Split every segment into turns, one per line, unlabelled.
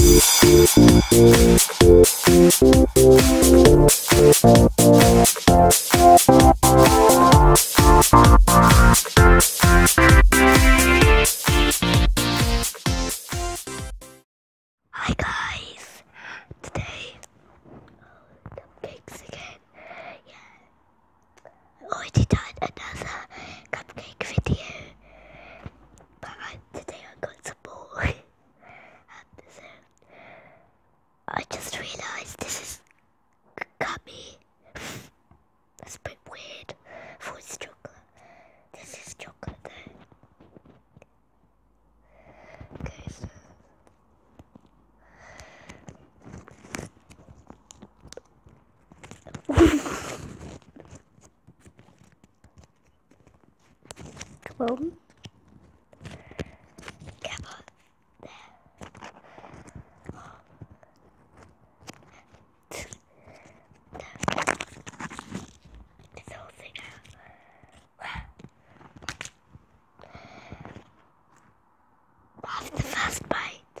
Hi guys, today I already done another cupcake video, but today I got some more. and I just realised this is gummy. That's a bit weird for chocolate. This is chocolate though. Okay, Kaboom. Kaboom. this whole thing Off the first bite.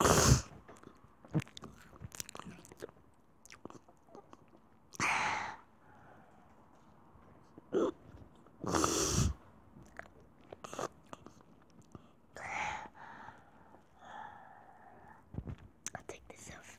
I'll take this off.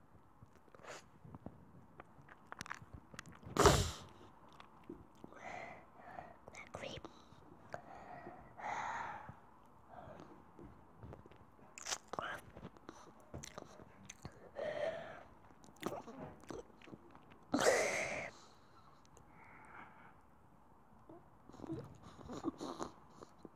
that creep.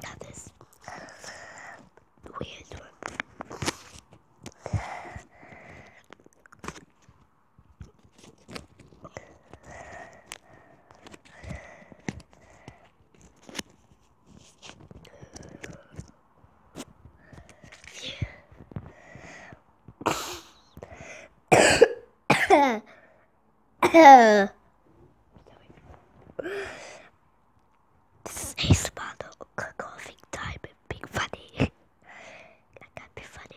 Got this weird one this is a spot of coughing time and being funny. I can't be funny.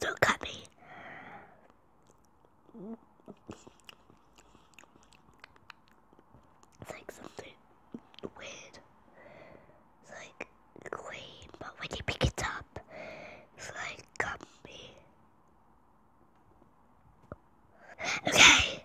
So gummy. It's like something weird. It's like green, but when you pick it up, it's like gummy. Okay.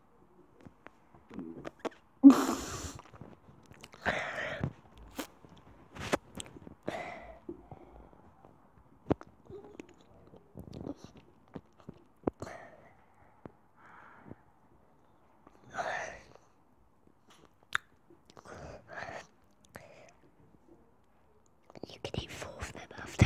You can eat four of them after.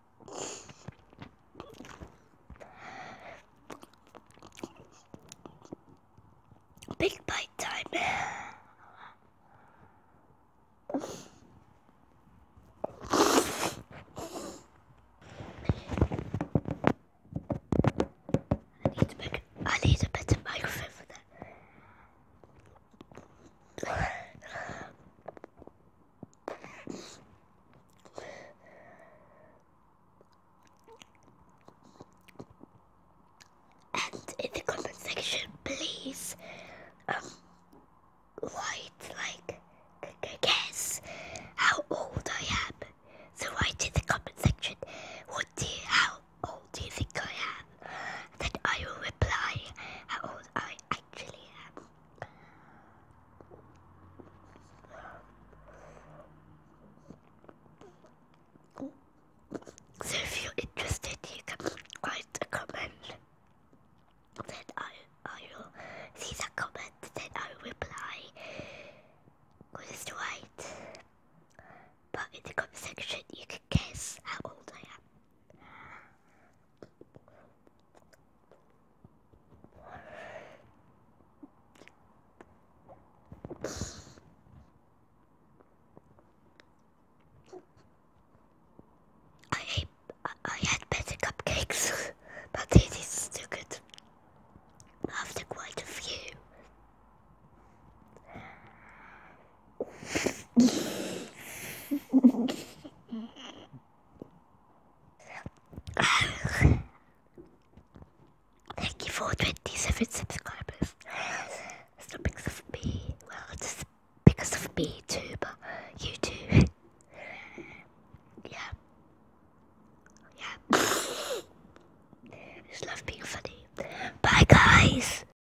Big bite time. I need a better microphone for that. And in the comment section, please, um, write like, guess how old I am. So write in the comment section, what do you, how old do you think I am? Then I will reply how old I actually So if you're interested, you can write a comment. Then I I will see the comment. Then I reply. What is the right? But in the comment section, you can guess how old I am. I had better cupcakes, but this is still good after quite a few. Thank you for 27 subscribers. It's not because of me. Well, it's because of me too, but you too. yeah. Yeah. I just love being funny. Bye, guys.